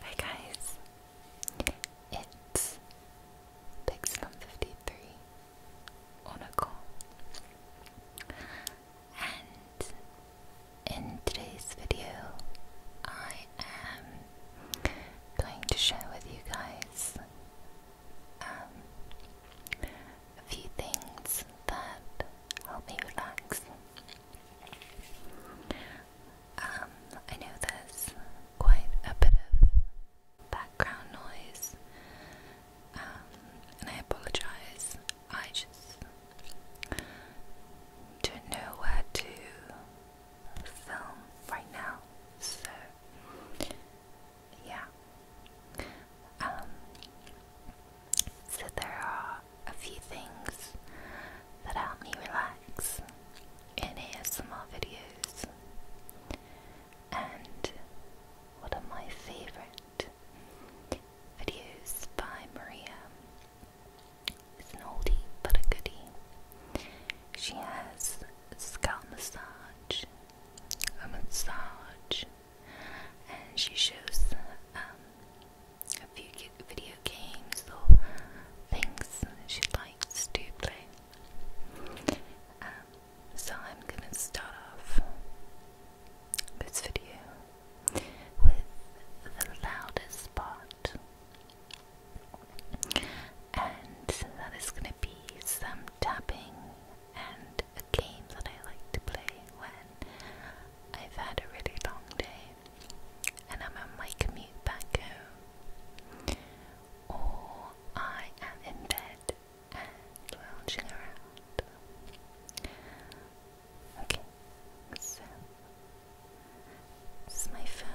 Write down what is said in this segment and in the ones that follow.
Hi guys, it's Pixelum53 on a call, and in today's video, I am going to share with you guys um, a few things that help me relax. Um, I know there's quite a bit of background noise, um, and I apologize. I just don't know where to film right now, so yeah. Um, so there are a few things that help me relax and some more videos. And one of my favourite videos by Maria is an oldie but a goodie. She has a scalp massage, a massage, and she shows um, a few video games or things she likes to play. Um, so I'm gonna start off this video with the loudest part, and that is gonna be some tapping and a game that I like to play when I've had a really long day and I'm on my commute back home, or I am in bed lounging around. Okay, so this is my phone.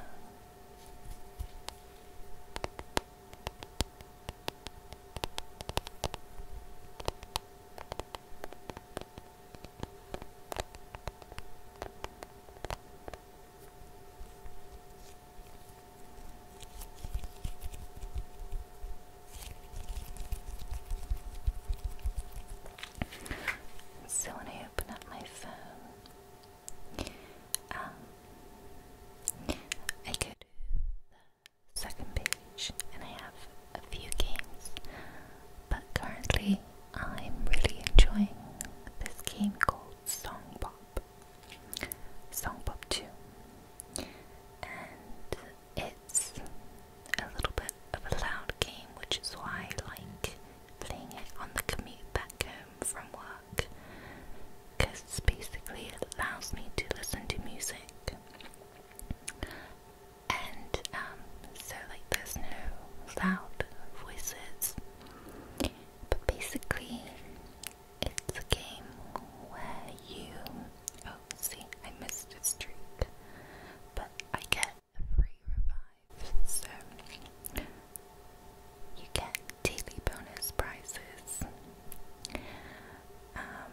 So when I open up my phone, um, I go to the second page, and I have a few games but currently I'm really enjoying this game called Song Pop. Song Pop 2. And it's a little bit of a loud game, which is why I like playing it on the commute back home from work. Because basically it allows me to listen to music and um, so like there's no loud voices. But basically, it's a game where you. Oh, see, I missed a streak, but I get a free revive, so you get daily bonus prizes. Um,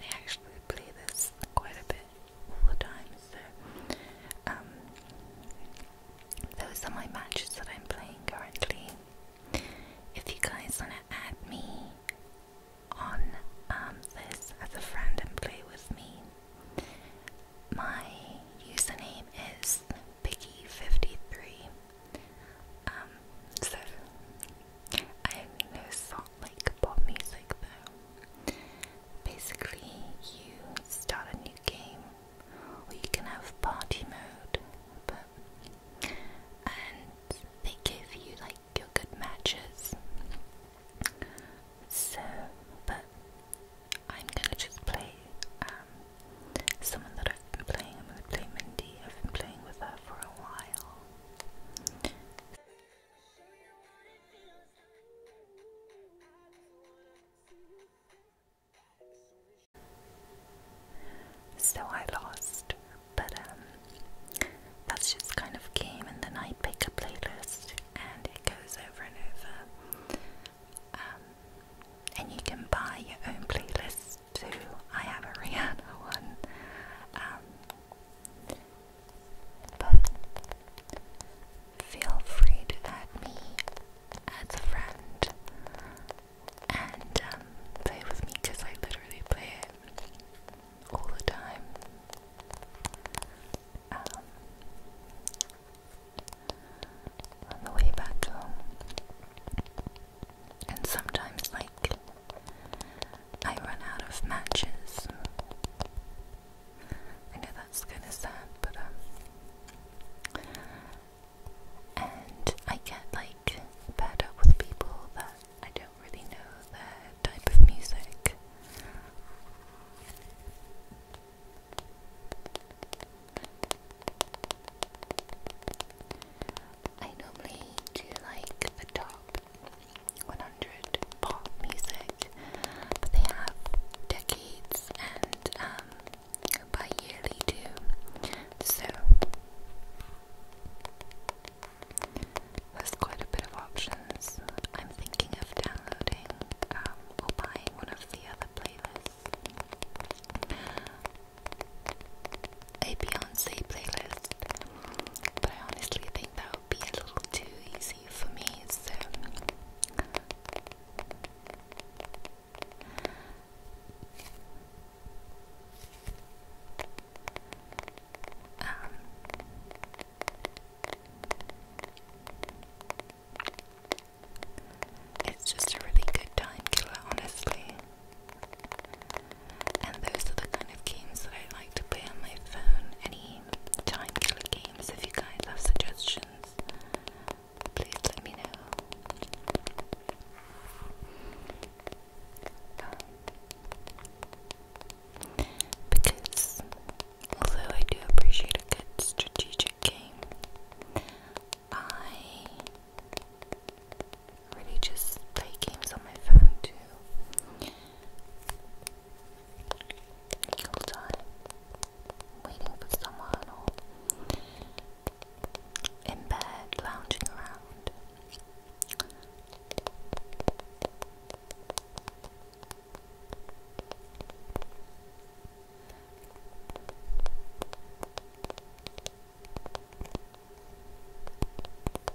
I actually play this quite a bit all the time, so um, those are my matches that I'm playing currently. If you guys want to add me on um, this as a friend and play with me, my username is Piggy53. Um, so I have no not like pop music though. Basically, you start a new game, or you can have party mode, but and they give you like your good matches. So, but I'm gonna just play um, someone that I've been playing. I'm gonna play Mindy. I've been playing with her for a while. So I lost, but um, that's just kind of game, and then I pick a playlist and it goes over and over. Um, and you can buy your own playlist too. I have a Rihanna one. Um, but feel free to add me as a friend and um, play with me because I literally play it all the time. Um, on the way back home. And sometimes, like, I run out of matches. I know that's kind of sad, but um. And I get like paired up with people that I don't really know their type of music. I normally do like the top 100 pop music, but they have decades and um, yearly too. So there's quite a bit of options. I'm thinking of downloading um, or buying one of the other playlists. A Beyonce playlist, but I honestly think though be a little too easy for me, so um, it's just a really good time killer, honestly. And those are the kind of games that I like to play on my phone. Any time to games. If you guys have suggestions, please let me know. Um, because although I do appreciate a good strategic game, I really just play games on my phone too. You'll waiting for someone or in bed lounging around.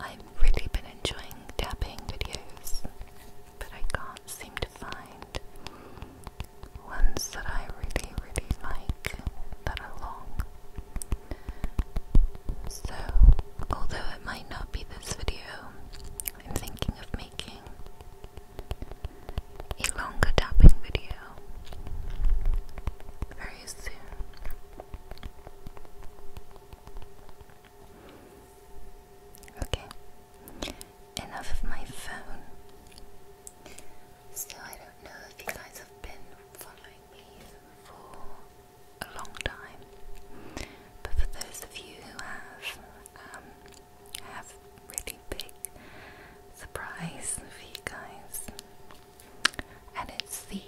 I've really been enjoying tapping videos, but I can't seem to find ones that I really, really like that are long. So, although it might not be this video, I'm thinking of making a longer tapping video very soon. Okay, enough of my phone. So, I don't know if you guys have been following me for a long time, but for those of you who have, I um, have a really big surprise for you guys, and it's the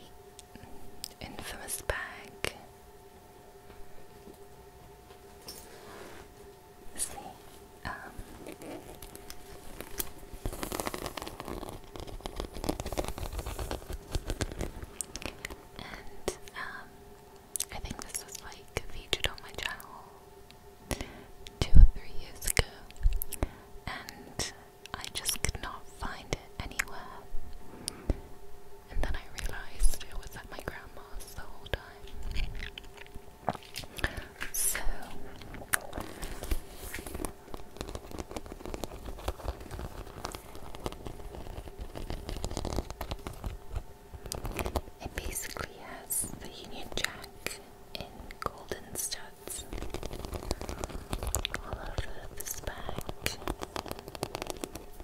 infamous bag. see, um, and um, I think this was like featured on my channel two or three years ago, and I just could not find it anywhere. And then I realized it was at my grandma's the whole time. So it basically has the Union Jack in golden studs all over this bag.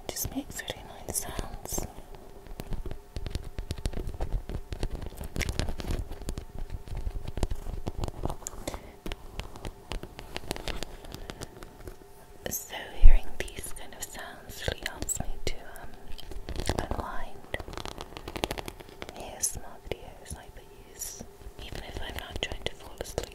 It just makes really sounds. So hearing these kind of sounds really helps me to um, unwind ASMR videos like these, even if I'm not trying to fall asleep.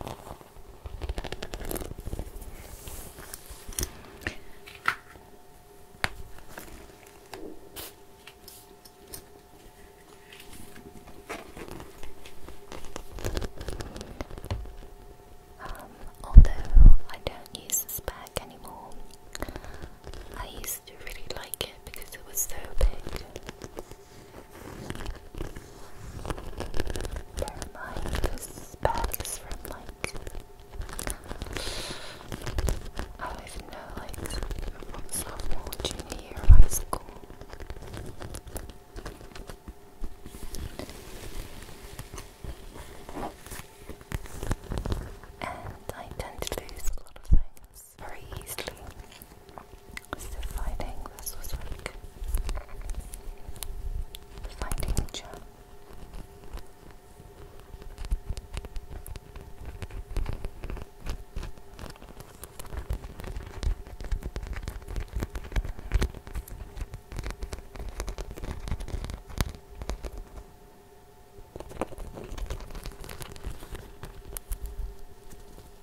Um, although I don't use this bag anymore, I used to really like it because it was so big. They're like, this is from like, I even know, like, from sophomore, junior year of school. And I tend to lose a lot of things very easily. So finding this was really Finding the gem.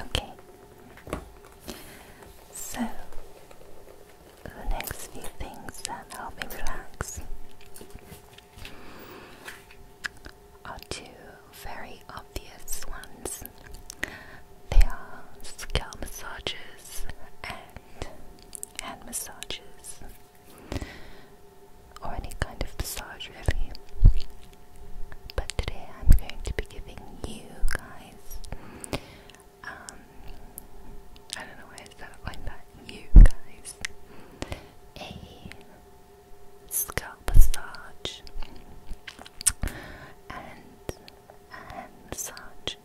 Okay. So the next few things that help me relax are two very obvious ones. They are scalp massages and hand massages, or any kind of massage, really. But today I'm going to be giving you guys. Um, I don't know why I started like that. You guys, a scalp massage, and and such.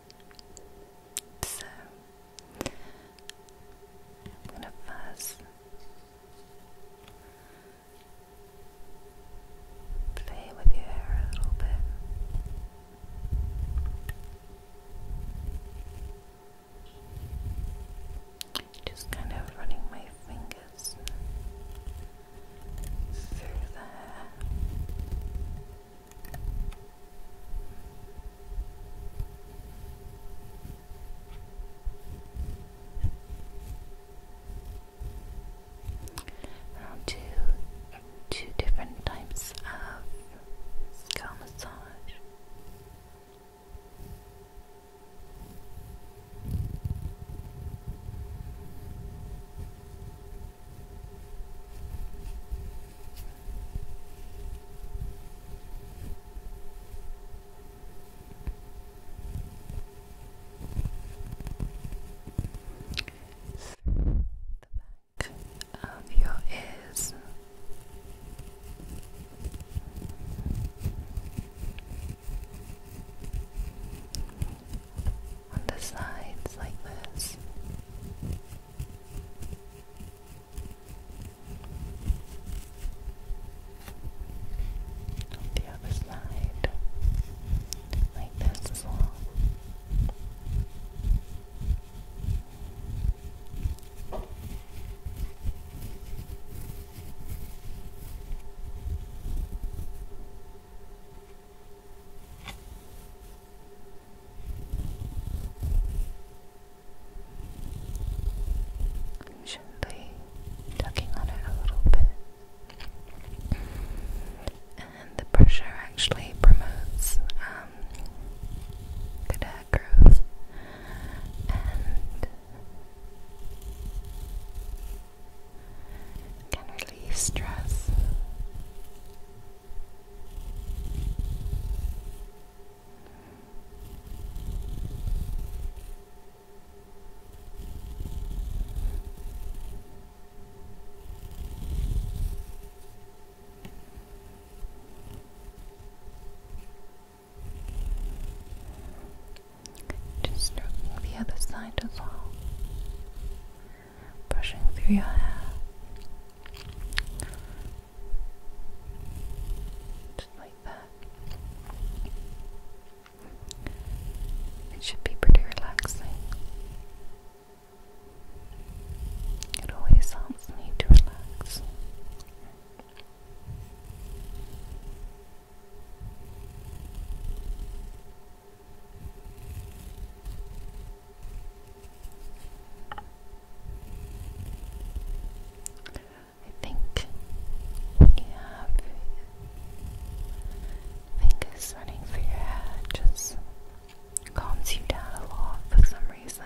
So, I'm first play with your hair a little bit. Just kind of running my fingers I'll do two different types of scalp massage the back of your ears on the sides like this. On the other side, like this as well. Gently tugging on it a little bit, and the pressure actually promotes hair um, growth can relieve stress. Just stroking the other side as well brushing through your hair. Just like that. It should be pretty relaxing. It always helps me to relax. I think you have fingers running through your head just calms you down a lot for some reason.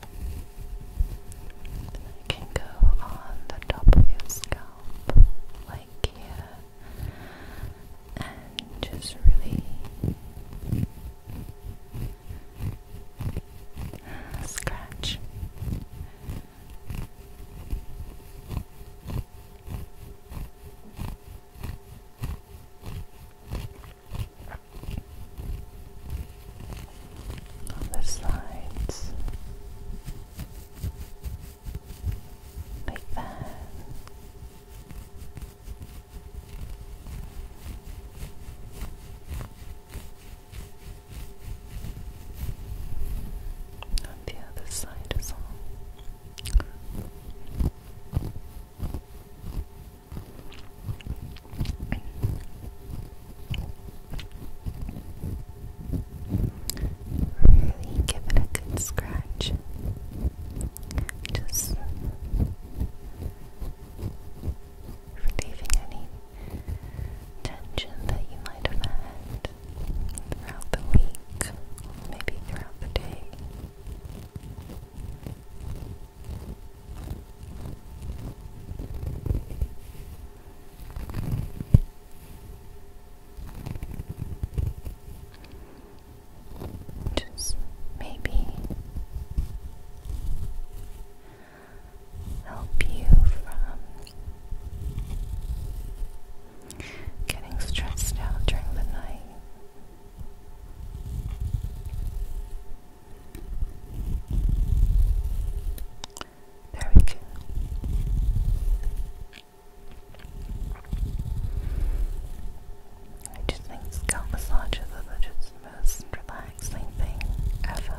Then can go on the top of your scalp, like here, and just really scratch. Other sides. Like that. On the other side as well give it a good scratch. Just relieving any tension that you might have had throughout the week, or maybe throughout the day. Just maybe help you from getting stressed out during the night. Very good. I just think scalp massages are the most relaxing thing ever.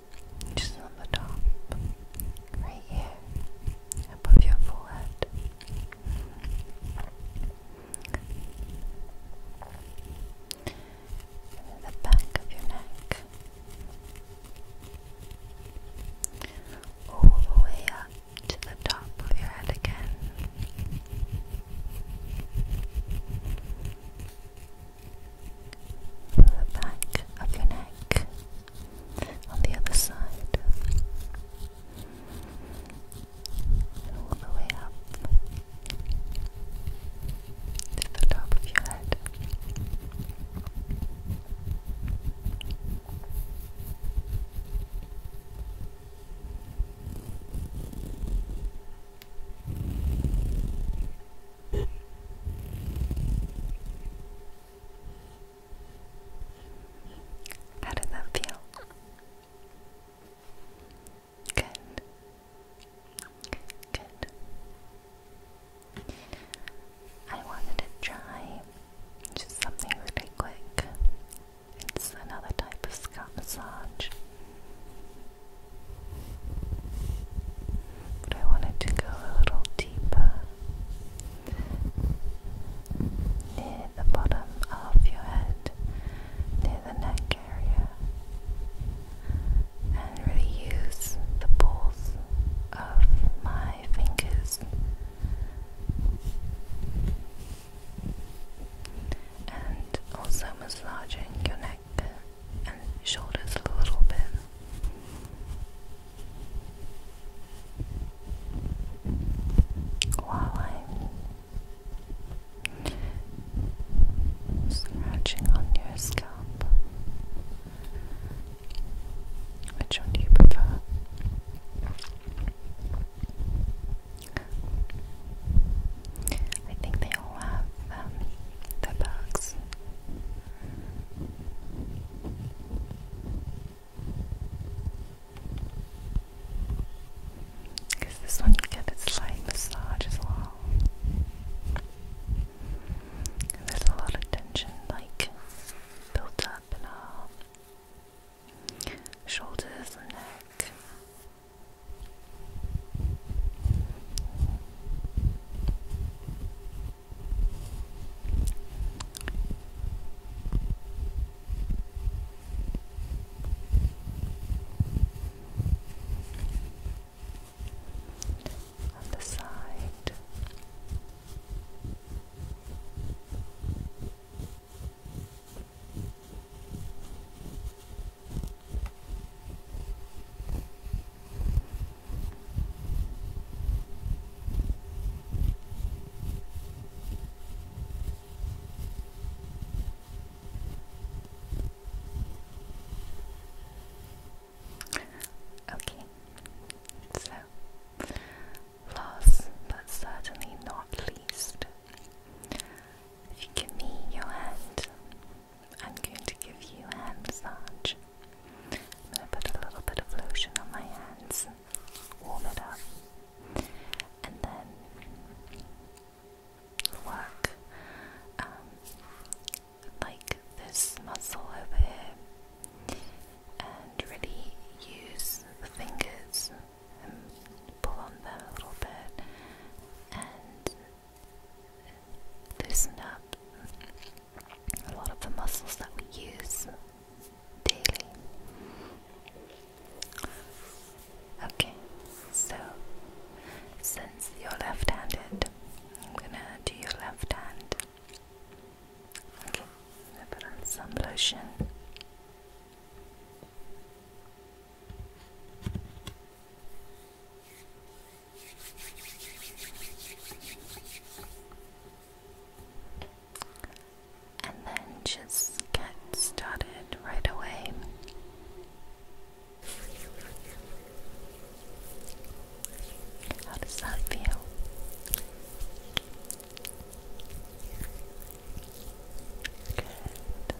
just on the top, right here, above your forehead. And the back of your neck, all the way up to the top of your head again from the back of your neck on the other side all the way up to the top of your head. How did that feel? Good. Good. I wanted to try just something really quick. It's another type of scalp massage. But I wanted to go a little deeper near the bottom of your head, near the neck area, and really use the balls of my fingers and also massaging your neck and shoulders a little bit. While I'm scratching on your scalp, which one do you prefer? I think they all have um, the box. Because this one you its light massage as well. there's a lot of tension like built up in our shoulders and neck on the side. Good. Okay, so last but certainly not least, if you give me your hand, I'm going to give you a hand massage. I'm going to put a little bit of lotion on my hands, warm it up, and then work um, like this muscle over here and really use the fingers and pull on them a little bit and loosen up a lot of the muscles that we use daily. Okay, so since you're left handed, I'm gonna do your left hand. Okay, I'm gonna put on some lotion. And then just get started right away. How does that feel? Good.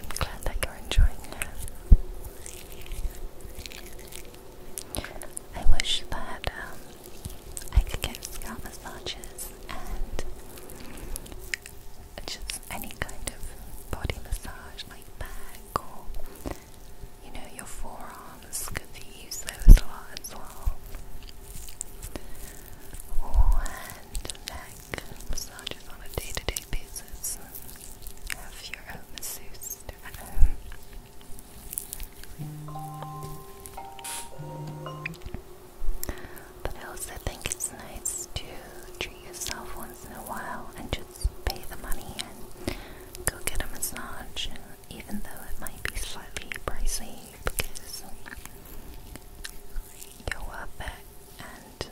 I'm glad that you're enjoying it. I wish that um, I could get scalp massages and just any kind of body massage like back or you know your forearms Could you use those a lot as well. Or neck massages on a day to -day basis have your own masseuse But I also think it's nice to treat yourself once in a while and just pay the money and go get a massage, even though it might be slightly pricey because you're worth and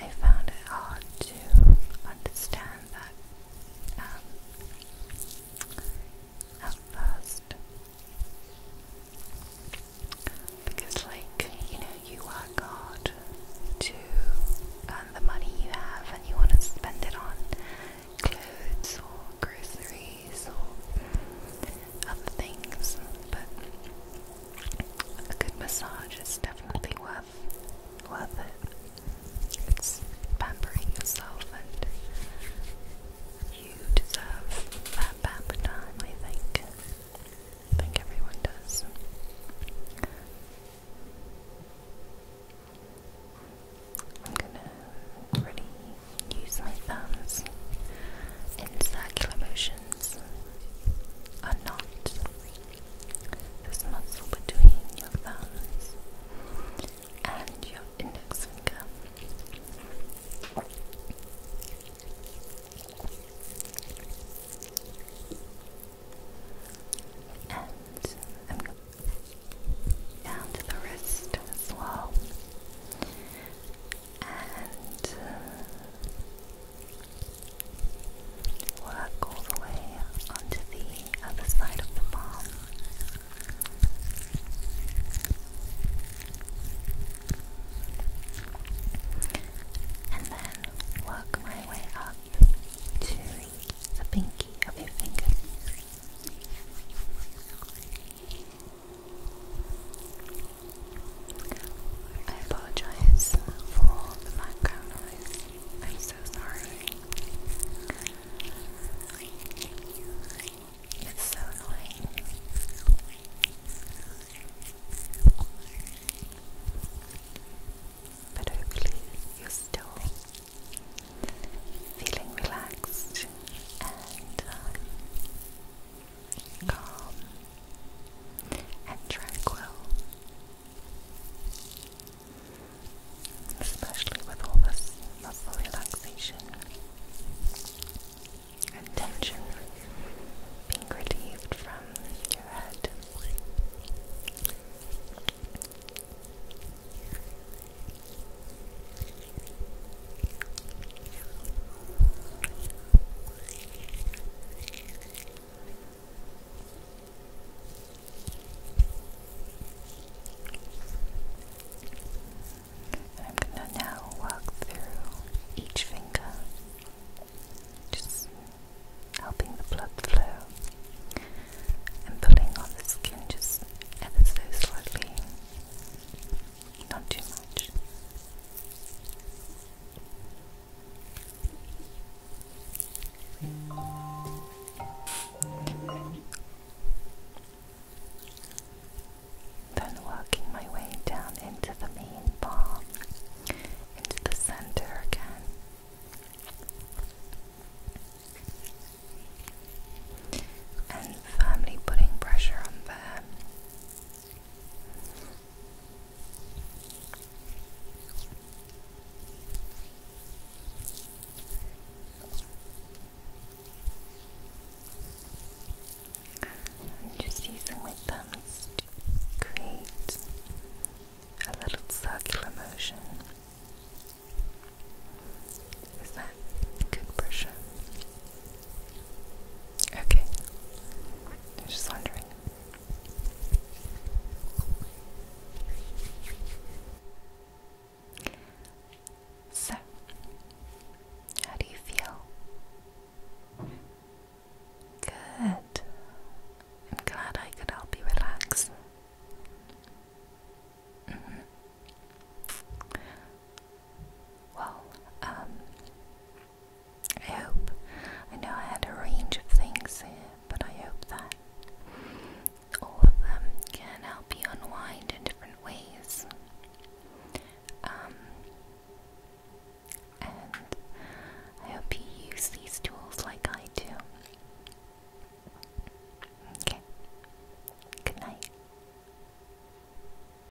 I found it hard to understand that um, at first. Because, like, you know, you work hard to the money you have and you want to spend it on clothes or groceries or other things, but a good massage is definitely worth worth it. It's pampering yourself, and you deserve that pamper time. I think. I think everyone does. I'm gonna really use my thumbs in circular motion tensions are this muscle between your thumbs and your index finger. And um, down to the wrist as well and uh, work all the way onto the other side of the palm. And then work my way up to the pinky of your finger. I apologize for the background noise. I'm so sorry. It's so annoying. But hopefully, you're still feeling relaxed and uh, calm, and tranquil. Especially with all this muscle relaxation and tension being relieved from your head. And I'm going to now walk through each finger, just helping the blood flow and pulling on the skin just ever so slightly not too much. Then working my way down into the main bar, into the center again. And firmly putting pressure on there just using my thumbs to create a little circular motion. Is that good pressure? Okay. I'm just wondering. So, how do you feel? Good. I'm glad I could help you relax. Mm-hmm. Well, um, I hope. I know I had a range of things but I hope that all of them can help you unwind in different ways. Um, and I hope you use these tools like I do. Okay. Good night.